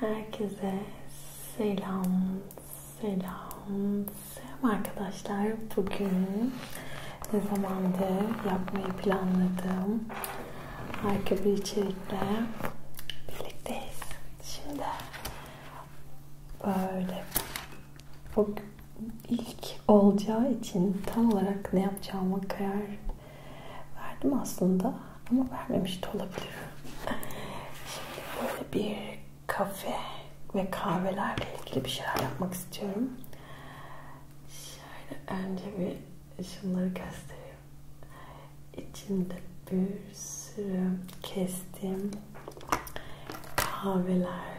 Herkese selam, selam, selam arkadaşlar. Bugün ne zamandır yapmayı planladığım harika bir içerikle birlikteyiz. Şimdi böyle bugün ilk olacağı için tam olarak ne yapacağıma karar Verdim aslında ama vermemiş de olabilir. Şimdi böyle bir kafe ve kahvelerle ilgili bir şeyler yapmak istiyorum. Şöyle önce bir şunları göstereyim. İçinde bir sürü kestiğim kahveler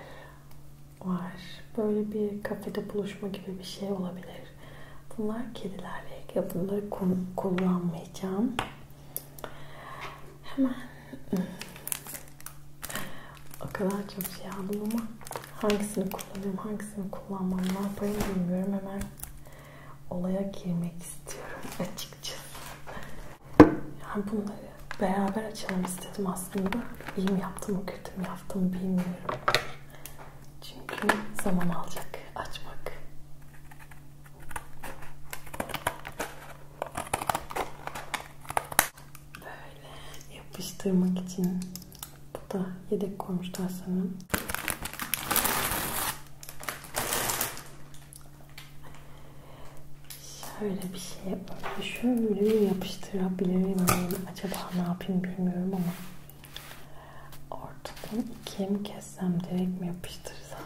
var. Böyle bir kafede buluşma gibi bir şey olabilir. Bunlar kedilerle ilgili. Bunları kullanmayacağım. Hemen hmm, o kadar çok şey aldım ama hangisini kullanayım, hangisini kullanmam, ne yapayım bilmiyorum. Hemen olaya girmek istiyorum açıkçası. Yani bunları beraber açalım istedim aslında. İyi mi yaptım, kötü mü yaptım bilmiyorum. Çünkü zaman alacak açmak. Böyle yapıştırmak için bu da yedek koymuşlar sanırım. Şöyle bir şey yapalım. Şöyle yapıştırabilirim. Acaba ne yapayım bilmiyorum ama Ortadan ikiye mi kessem direkt mi yapıştırsam?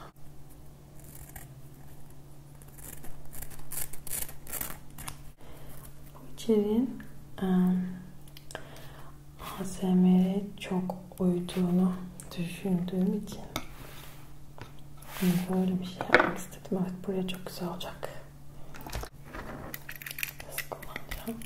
Bu içeriğin um, ASMR'e çok uyduğunu düşündüğüm için böyle bir şey yapmak istedim. Evet buraya çok güzel olacak. Nasıl kullanacağım?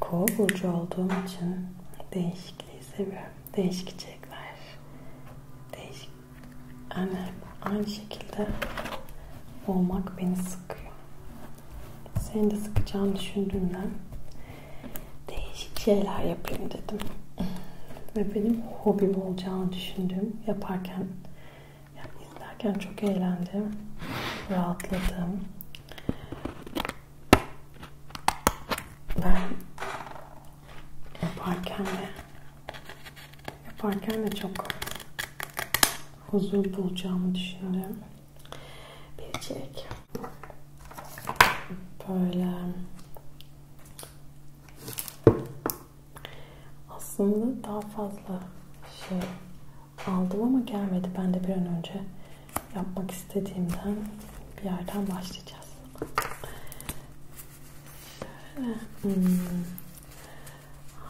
Kova burcu olduğum için değişikliği seviyorum. Değişik içerikler. Değişik. Yani aynı şekilde olmak beni sıkıyor. Seni de sıkacağını düşündüğümden değişik şeyler yapayım dedim. Ve benim hobim olacağını düşündüğüm yaparken, yani izlerken çok eğlendim, rahatladım. Ben yaparken de yaparken de çok huzur bulacağımı düşündüm bir çilek. Böyle aslında daha fazla şey aldım ama gelmedi. Ben de bir an önce yapmak istediğimden bir yerden başlayacağız. Şöyle. Hmm.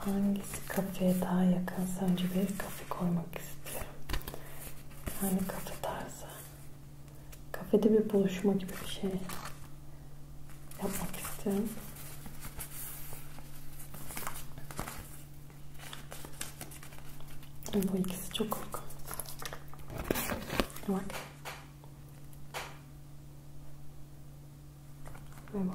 Hangisi kafeye daha yakınsa önce bir kafe koymak istiyorum. Yani kafe tarzı. Kafede bir buluşma gibi bir şey yapmak istiyorum. Bu ikisi çok korkunç. Bak. Ve bu.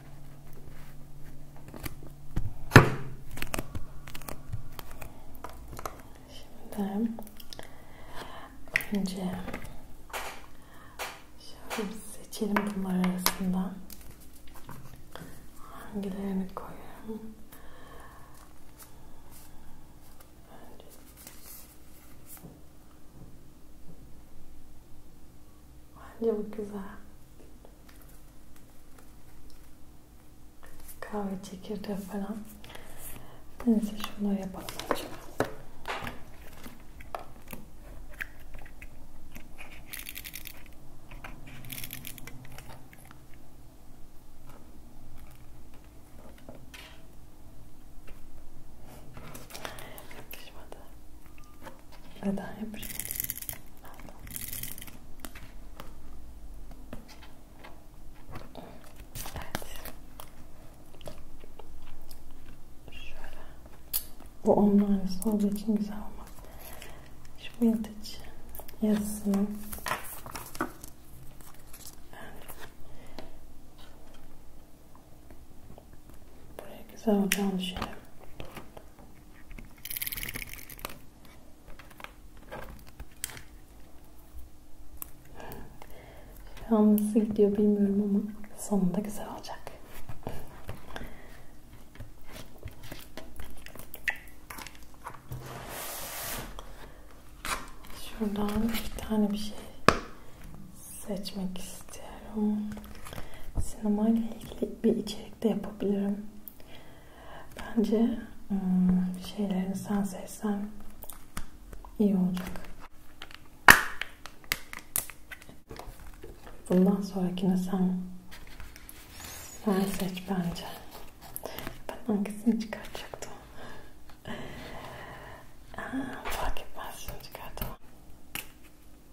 Şimdi önce şöyle seçelim bunlar arasında. Hangilerini koyuyorum? Önce Bence bu güzel. Kahve çekirdeği falan. Neyse şunları yapalım acaba. Yakışmadı. Neden yapayım? Evet. Şöyle. Bu onun aynısı olduğu için güzel olmaz. Şu vintage yazısını Buraya güzelce alışalım. Şu an nasıl gidiyor bilmiyorum ama sonunda güzel olacak. Şuradan iki tane bir şey seçmek istiyorum. Sinema ile ilgili bir içerik de yapabilirim. Bence hmm, şeylerini sen seçsen iyi olacak. Bundan sonrakine sen sen seç bence. Ben hangisini çıkartacaktım? Aa, fark etmez şimdi çıkartamam.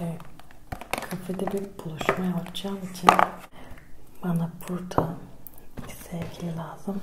Ve kafede bir buluşma yapacağım için bana burada bir sevgili lazım.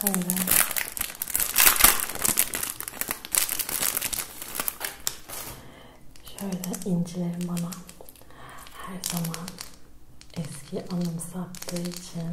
Şöyle. Şöyle incilerim bana her zaman eski anımsattığı için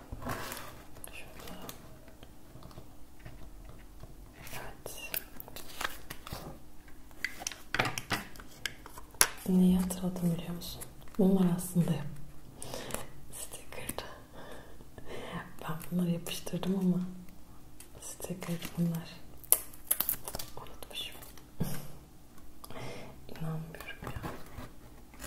Şöyle. Evet. Neyi hatırladım biliyor musun? Bunlar aslında sticker'dı. Ben bunları yapıştırdım ama sticker bunlar. Unutmuşum. İnanmıyorum ya.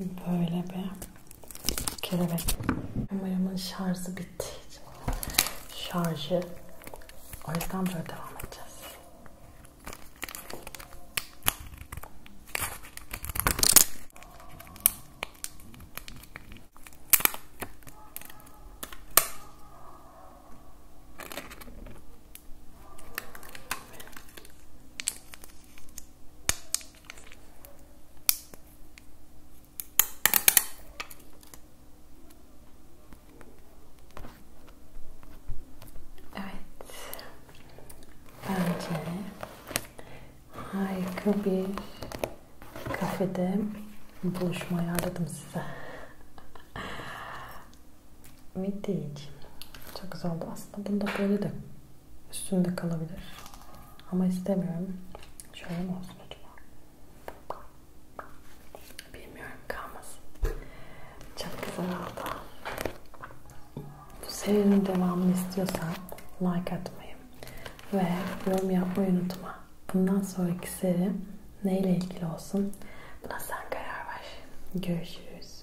Böyle bir kelebek. Kameramın şarjı bitti. Şarjı. O yüzden böyle devam edeceğiz. Evet. Bence harika bir kafede buluşma ayarladım size. Müthiş. Çok güzel oldu. Aslında bunu da böyle de üstünde kalabilir. Ama istemiyorum. Şöyle mi olsun acaba? Bilmiyorum kalmasın. Çok güzel oldu. Bu serinin devamını istiyorsan like atmayı ve yorum yapmayı unutma. Bundan sonraki seri neyle ilgili olsun? Buna sen karar ver. Görüşürüz.